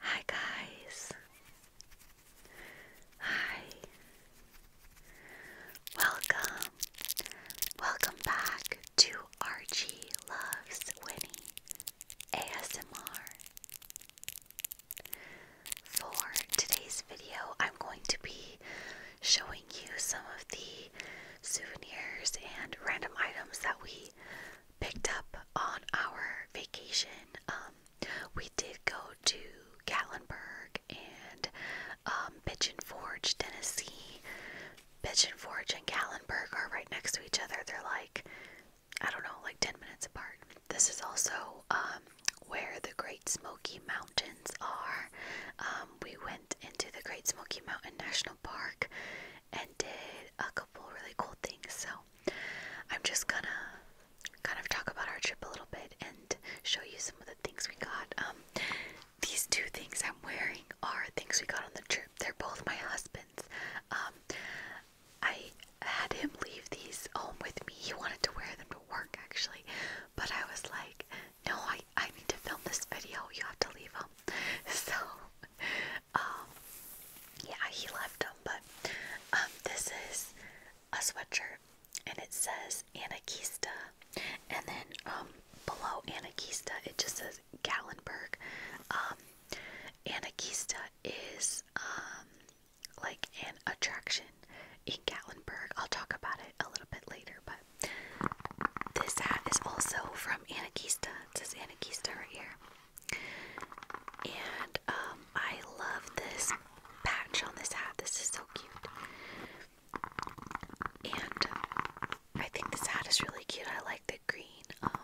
Hi guys. Hi. Welcome. Welcome back to Archie Loves Winnie ASMR. For today's video, I'm going to be showing you some of the souvenirs and random items that we picked up on our vacation. Um, we did go to Gatlinburg and um, Forge, Tennessee. Pigeon Forge and Gatlinburg are right next to each other. They're like, I don't know, like 10 minutes apart. This is also um, where the Great Smoky Mountains are. Um, we went into the Great Smoky Mountain National Park and did a couple really cool things. So I'm just gonna kind of talk about our trip a little bit and show you some of the things we got. Um, these two things I'm wearing are things we got on the trip. They're both my husband's. Um, I had him leave these home with me. He wanted to wear them to work actually, but I was like, no, I. I need to film this video. You have to leave him. So, um, yeah, he left him. But um, this is a sweatshirt, and it says Anarchista, and then um, below Anarchista it just says Gallenberg. Um, is like an attraction in Gatlinburg. I'll talk about it a little bit later, but this hat is also from Anarchista. It says Anarchista right here. And um, I love this patch on this hat. This is so cute. And I think this hat is really cute. I like the green. Um,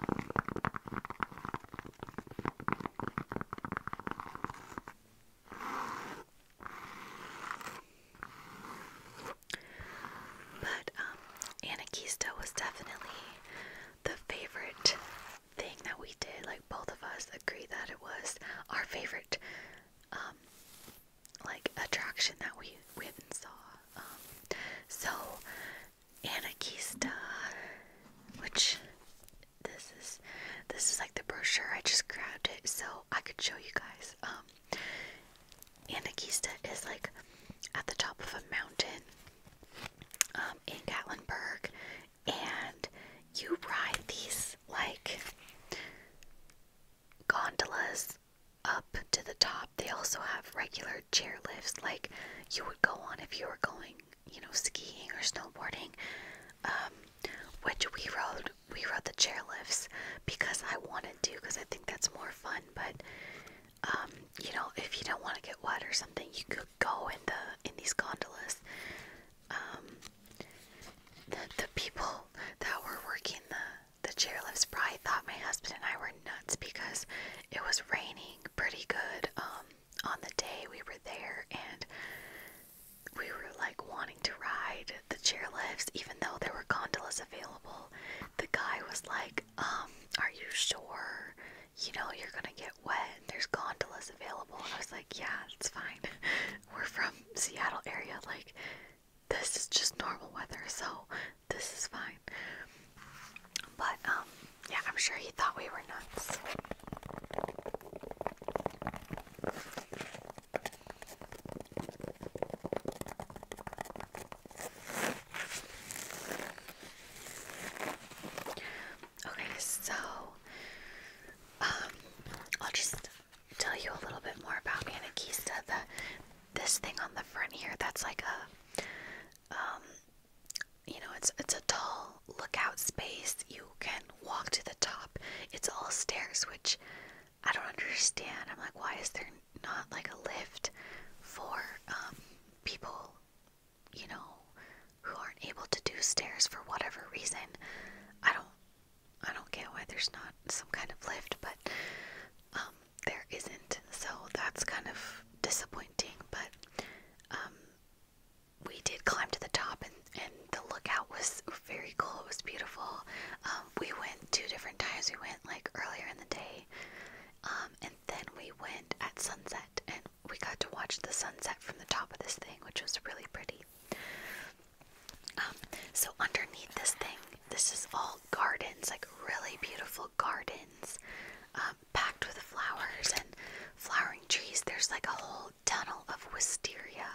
but um, was definitely the favorite thing that we did. Like both of us agree that it was our favorite, um, like attraction that we went and saw. Um, so Anarchista, which this is this is like the brochure. I just grabbed it so I could show you guys. Um, Anakista is like at the top of a mountain um, in Gatlinburg, and you ride these like gondolas up to the top. They also have regular chair lifts, like you would go on if you were going, you know, skiing or snowboarding. Um, which we rode, we rode the chair lifts because I wanted to, because I think that's more fun. But um, you know, if you don't want to get wet or something, you could go in the in these gondolas. Um, the people that were working the the chairlifts probably thought my husband and I were nuts because it was raining pretty good um, on the day we were there, and we were like wanting to ride the chairlifts, even though there were gondolas available. The guy was like, um, are you sure? You know, you're gonna get wet. There's gondolas available. I was like, yeah, it's fine. We're from Seattle area. Like, this is just normal weather, so this is fine. But, um, yeah, I'm sure he thought we were nuts. Okay, so um, I'll just tell you a little bit more about Anarchista. The this thing on the front here, that's like a um, you know, it's it's a tall lookout space. You can walk to the top. It's all stairs, which I don't understand. I'm like, why is there not like a lift for um, people, you know, who aren't able to do stairs for whatever reason. I don't, I don't get why there's not some kind of lift, but um, there isn't. So that's kind of disappointing. But um, we did climb to the top, and and the lookout was very cool. It was beautiful. we went two different times. We went like earlier in the day um, and then we went at sunset and we got to watch the sunset from the top of this thing, which was really pretty. Um, so underneath this thing, this is all gardens, like really beautiful gardens, um, packed with flowers and flowering trees. There's like a whole tunnel of wisteria,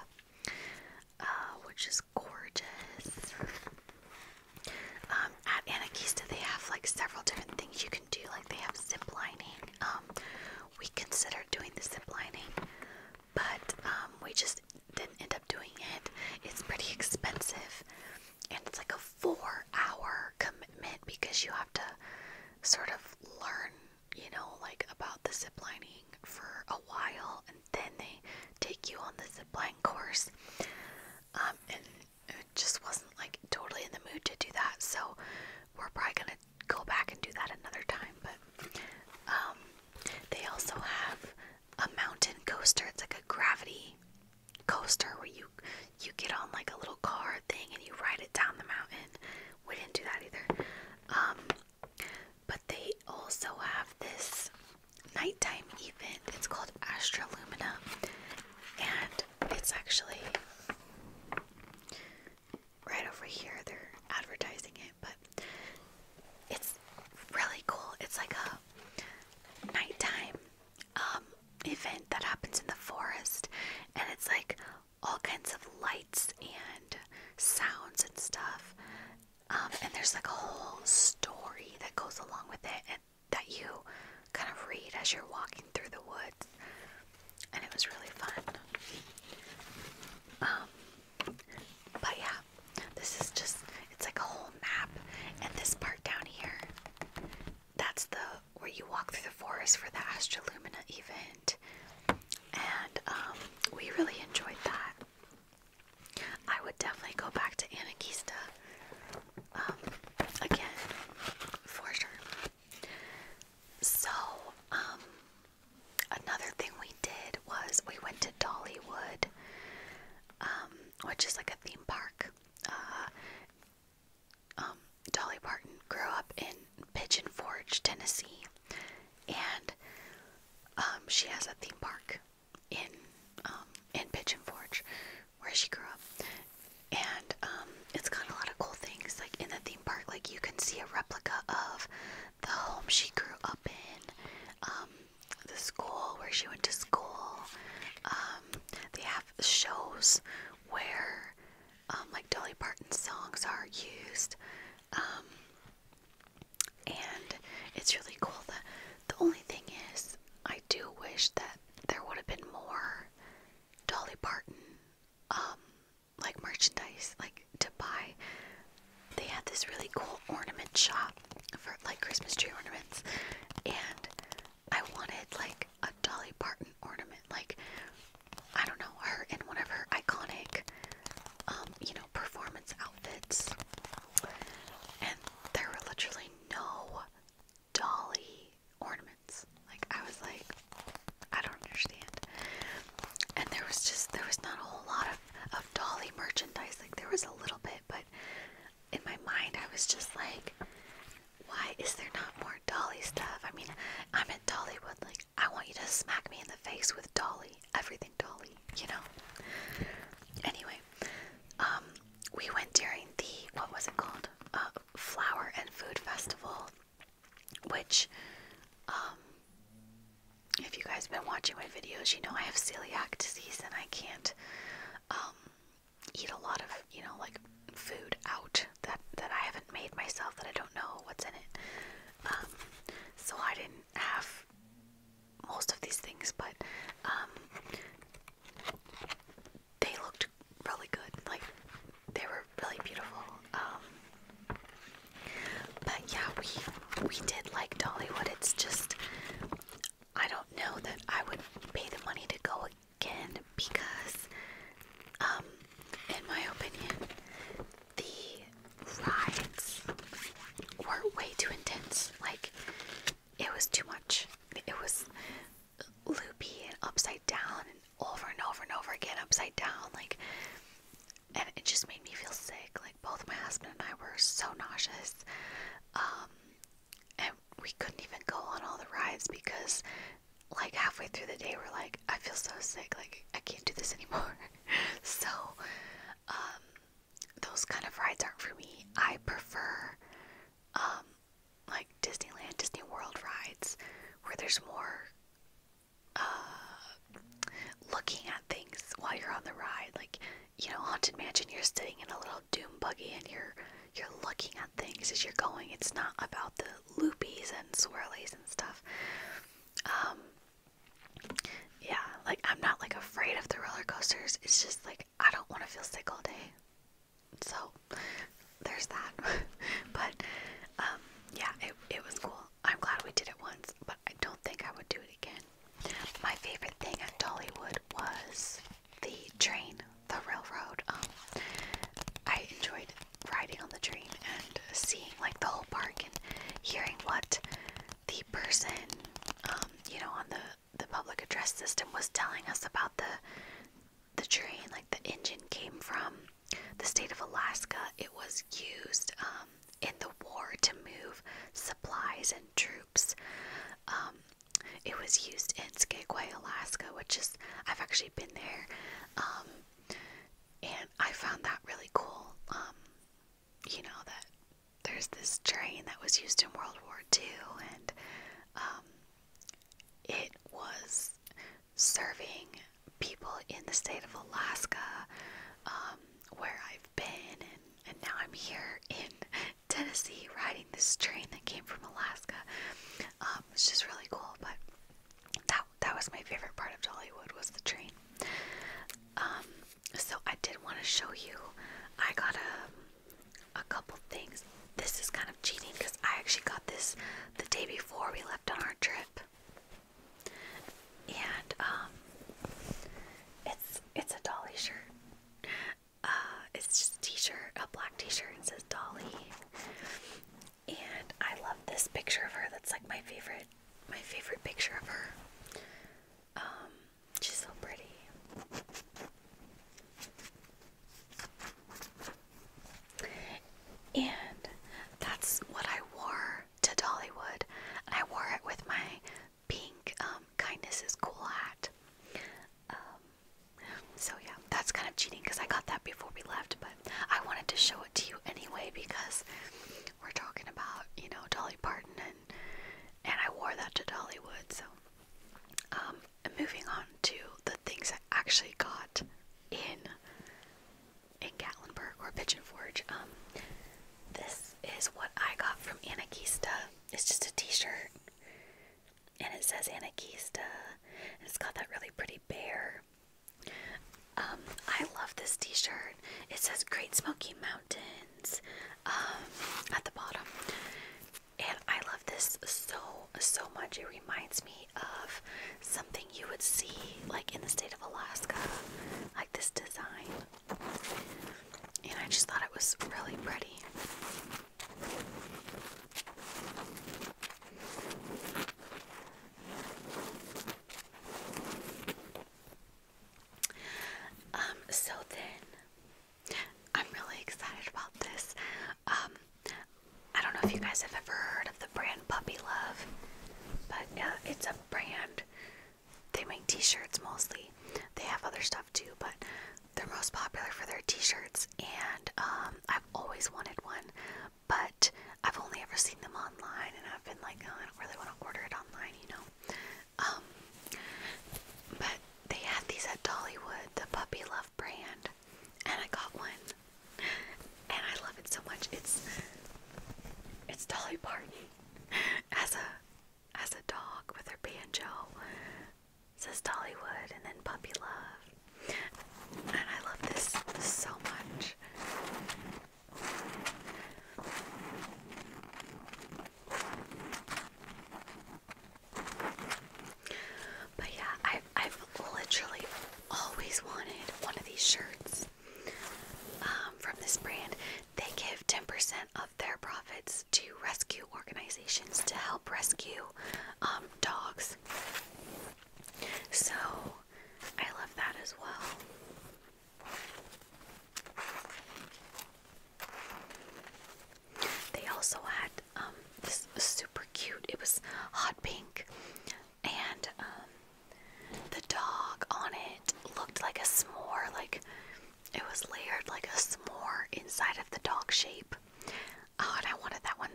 uh, which is gorgeous. Um, at Anakista, they have like several different things you can do. Like they have zip lining. Um, we considered doing the zip lining, but um, we just didn't end up doing it. It's pretty expensive, and it's like a four-hour commitment because you have to sort of learn, you know, like about the zip lining for a while, and then they take you on the zip line course. It just wasn't like totally in the mood to do that. So we're probably gonna go back and do that another time. But um, they also have a mountain coaster. It's like a gravity coaster where you you get on like a little car thing and you ride it down the mountain. We didn't do that either. Um, but they also have this nighttime event. It's called Astralumina, and it's actually right over here. They're advertising it, but it's really cool. It's like a nighttime um, event that happens in the forest, and it's like all kinds of lights and sounds and stuff. Um, and there's like a whole story that goes along with it, that you kind of read as you're walking through the woods, and it was really fun. Um, but yeah, this is just it's like a whole map, and this part down here that's the where you walk through the forest for the Astralumina event, and um, we really enjoyed that. I would definitely go back to Anakista. Um, again, for sure. So, um, another thing we did was we went to Dollywood, um, which is like a theme park. Uh, Dolly Parton grew up in Pigeon Forge, Tennessee, and she has a theme park in um, in Pigeon Forge, where she grew up, and um, it's got a lot of cool things. Like in the theme park, like you can see a replica of the home she grew up in, um, the school where she went to school. Um, they have shows where, um, like Dolly Parton's songs are used. Um, and it's really cool. The, the only thing is, I do wish that there would have been more Dolly Parton, um, like merchandise, like to buy. They had this really cool ornament shop for like Christmas tree ornaments, and I wanted like a Dolly Parton ornament, like I don't know her in one of her iconic, um, you know, performance outfits. And there were literally no dolly ornaments. Like I was like, I don't understand. And there was just there was not a whole lot of, of dolly merchandise. Like there was a little bit, but in my mind I was just like, why is there not more dolly stuff? I mean, I'm at Dollywood, like I want you to smack me in the face with dolly. Everything dolly, you know? Anyway, um we went during the what was it called? Uh, Flower and Food Festival, which, um, if you guys have been watching my videos, you know I have celiac disease and I can't um, eat a lot of you know like food out that that I haven't made myself that I don't know what's in it. Um, so I didn't have most of these things, but they looked really good. Like they were really beautiful. Um, but yeah, we we did like Dollywood. It's just I don't know that I would pay the money to go again because, um, in my opinion, the rides were way too intense. Like it was too much. It was loopy and upside down and over and over and over again upside down like and it just made me feel sick like both my husband and I were so nauseous um and we couldn't even go on all the rides because like halfway through the day we're like I feel so sick like I can't do this anymore so um those kind of rides aren't for me I prefer um like Disneyland, Disney World rides where there's more uh, looking at things while you're on the ride. Like, you know, Haunted Mansion, you're sitting in a little doom buggy and you're you're looking at things as you're going. It's not about the loopies and swirlies and stuff. Um, yeah, like I'm not like afraid of the roller coasters. It's just like I don't want to feel sick all day so there's that. but um, yeah, it it was cool. I'm glad we did it once, but I don't think I would do it again. My favorite thing at Dollywood was the train, the railroad. Um, I enjoyed riding on the train and seeing like the whole park and hearing what the person, um, you know, on the the public address system was telling us about the the train, like the engine came from the state of Alaska. It was used um, in the war to move supplies and troops. Um, it was used in Skagway, Alaska, which is I've actually been there, um, and I found that really cool. you know that there's this train that was used in World War II, and it was serving people in the state of Alaska, um, where I've been, and, and now I'm here in Tennessee riding this train that came from Alaska. Um, it's just really cool, but that that was my favorite part of Dollywood was the train. Um, so I did want to show you. I got a a couple things. This is kind of cheating because I actually got this the day before we left on our trip. And um it's it's a dolly shirt. Uh it's just a t-shirt, a black t-shirt and says Dolly. And I love this picture of her. That's like my favorite my favorite picture of her. Um she's so pretty. And that's what I wore to Dollywood. I wore it with my pink um, Kindness is Cool hat. Um, so, yeah, that's kind of cheating because I got that before we left, but I wanted to show it to you anyway because we're talking about, you know, Dolly Parton and, and I wore that to Dollywood. So, um, moving on to the things I actually got in in Gatlinburg or Pigeon Forge. Um, this is what I got from Anarchista. It's just a T-shirt, and it says Anarchista, and it's got that really pretty bear. Um, I love this T-shirt. It says Great Smoky Mountains um, at the bottom. And I love this so, so much. It reminds me of something you would see like in the state of Alaska, like this design. And I just thought it was really pretty. Um, so then I'm really excited about this. Um, I don't know if you guys have ever heard of the brand Puppy Love, but uh, it's a brand. They make T-shirts mostly. They have other stuff too, but they're most popular for their T-shirts. And um, I've always wanted one, but I've only ever seen them online, and I've been like, oh, I don't really want to order it online, you know. Um, but they had these at Dollywood, the Puppy Love brand, and I got one, and I love it so much. It's it's Dolly Parton as a as a dog with her banjo. It says Dollywood and then Puppy Love, and I love this so much. But yeah, I've, I've literally always wanted one of these shirts um, from this brand. They give 10% of their profits to rescue organizations to help rescue um, dogs. So I love that as well. They also had um, this super cute. It was hot pink, and um, the dog on it looked like a s'more. Like it was layered like a s'more inside of the dog shape. Oh, and I wanted that one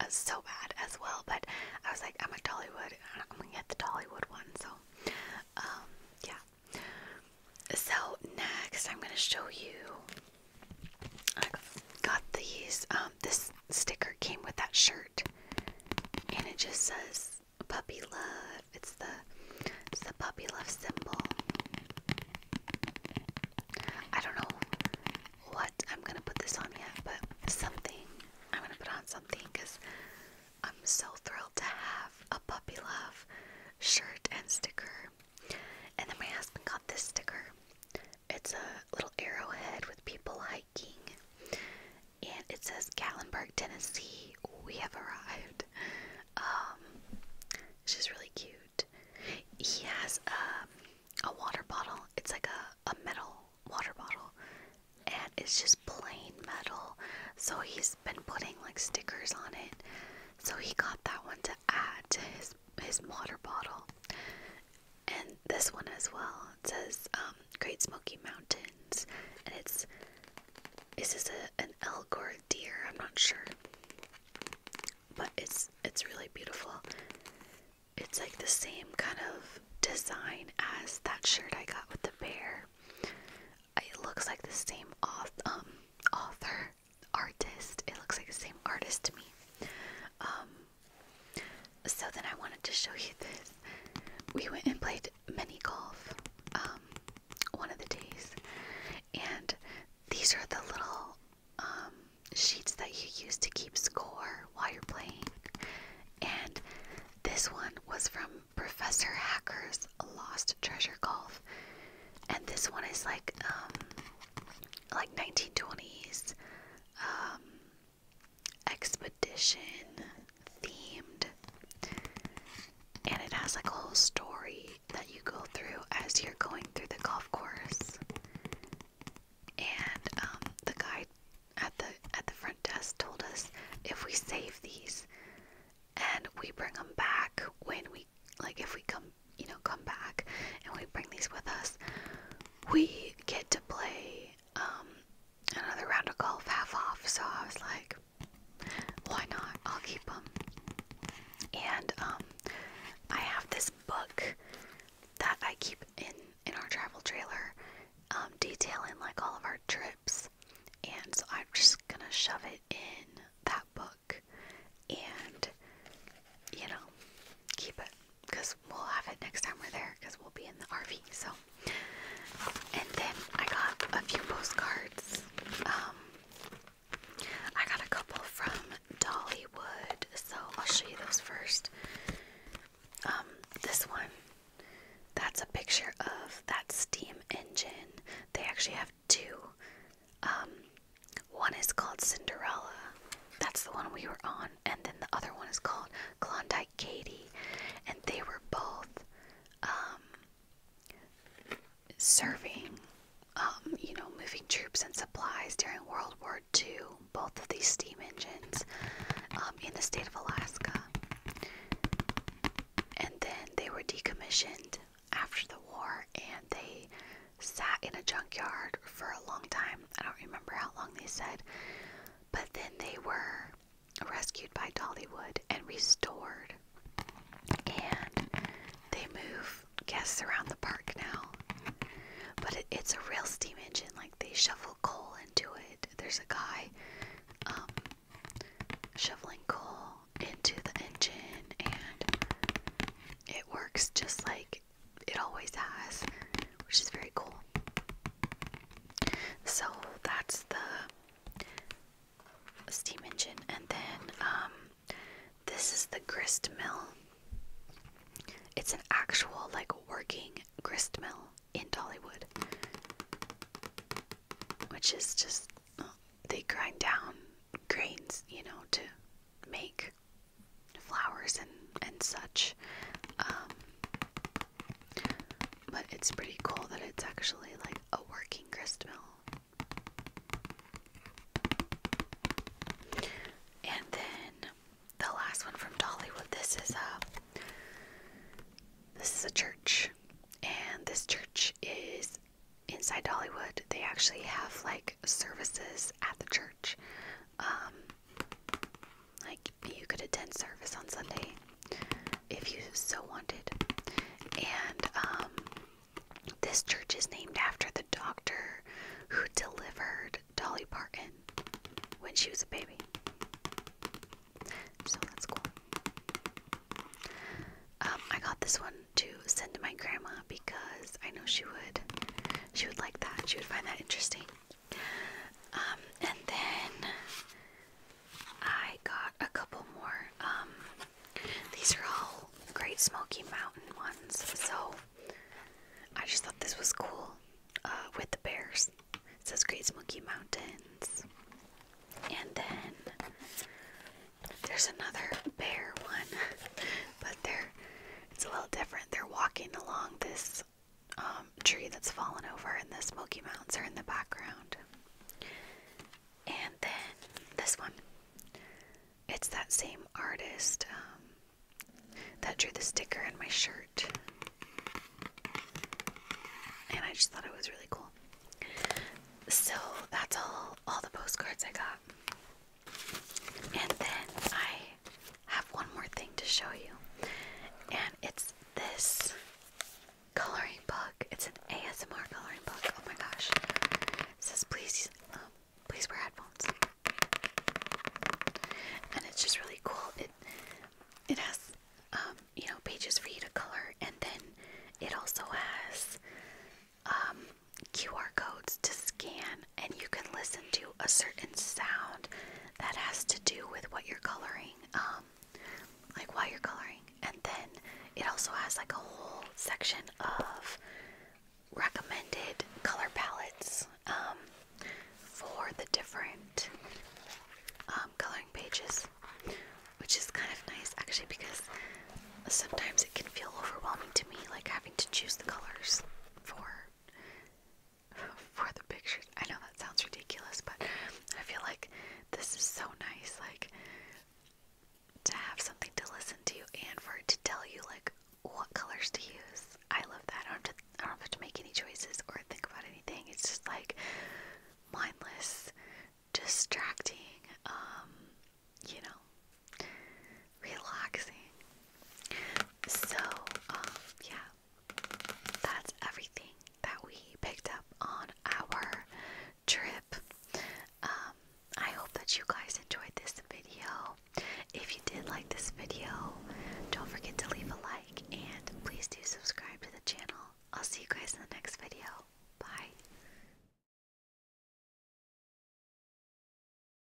uh, so bad as well. But I was like, I'm at Dollywood. I'm gonna get the Dollywood one. So, um, yeah. So next, I'm gonna show you I got these. Um, this sticker came with that shirt, and it just says "puppy love." It's the it's the puppy love symbol. I don't know what I'm gonna put this on yet, but something. I'm gonna put on something because I'm so thrilled to have a puppy love shirt and sticker. And then my husband got this sticker. It's a little arrowhead with people hiking. And it says Gatlinburg, Tennessee. We have arrived. Um, it's just really cute. He has um, a water bottle. It's like a, a metal water bottle. And it's just plain metal. So he's been putting like stickers on it. So he got that one to add to his his water bottle. And this one as well. It says um, Great Smoky Mountains, and it's is this a, an elk or a deer? I'm not sure, but it's it's really beautiful. It's like the same kind of design as that shirt I got with the bear. It looks like the same auth um, author artist. It looks like the same artist to me. Um, so then I wanted to show you this. We went and played mini golf um, one of the days, and these are the little um, sheets that you use to keep score while you're playing. And this one was from Professor Hacker's Lost Treasure Golf, and this one is like like 1920s um, expedition themed, and it has like a whole story that you go through as you're going through the golf course. And um, the guy at the at the front desk told us if we save these and we bring them back when we like if we come you know come back and we bring these with us we get to play um, another round of golf half off so i was like why not i'll keep them and um, i have this book that i keep in in our travel trailer um, detailing like all of our trips and so i'm just gonna shove it in that book and, you know, keep it because we'll have it next time we're there because we'll be in the RV. So, and then I got a few postcards. Um, I got a couple from Dollywood, so I'll show you those first. Um, this one, that's a picture of that steam engine. They actually have two um, one is called Cinderella. That's the one we were on. And then the other one is called Klondike Katie. And they were both um, serving, um, you know, moving troops and supplies during World War II, both of these steam engines in the state of Alaska. And then they were decommissioned after the war and they sat in a junkyard for a long time. I don't remember how long they said, but then they were rescued by Dollywood and restored. And they move guests around the park now. But it's a real steam engine. Like they shovel coal into it. There's a guy um, shoveling coal into the engine, and it works just like it always has, which is very cool. So that's the steam engine, and then um, this is the grist mill. It's an actual, like, working grist mill in Dollywood, which is just they grind down grains, you know, to make flowers and and such. Um, but it's pretty cool that it's actually like a working grist And then the last one from Dollywood. This is a uh, this is a church, and this church is inside Dollywood. They actually have like services at the church, um, like you could attend service on Sunday if you so wanted. And um, this church is named after the doctor who delivered Dolly Parton when she was a baby. So that's cool. Um, I got this one to send to my grandma because I know she would. She would like that. She would find that interesting. Um, and then I got a couple more. Um, these are all Great Smoky Mountain ones, so I just thought this was cool. Uh, with the bears, says Great Smoky Mountains, and then there's another bear one, but they're it's a little different. They're walking along this um, tree that's fallen over, and the Smoky Mountains are in the background. And then this one. It's that same artist um, that drew the sticker in my shirt. And I just thought it was really cool. So that's all all the postcards I got. And then I have one more thing to show you, and it's this coloring book. It's an ASMR coloring book. Oh my gosh! It says please, um, please wear headphones, and it's just really cool. It it has um, you know pages for you to color, and then it also has um, QR codes to scan, and you can listen to a certain sound that has to do with what you're coloring, um, like while you're coloring. And then it also has like a whole section of recommended color palettes um, for the different um, coloring pages, which is kind of nice actually because sometimes it can feel overwhelming to me, like having to choose the colors for for the pictures. I know that sounds ridiculous, but I feel like this is so nice, like to have something to listen to and for it to tell you like what colors to use. I love that. I don't have to, I don't have to make any choices or think about anything. It's just like mindless, distracting, um, you know, relaxing. So, um, yeah, that's everything that we picked up on our trip. Um, I hope that you guys enjoyed this video. If you did like this video, don't forget to leave a like and please do subscribe to the channel. I'll see you guys in the next video. Bye.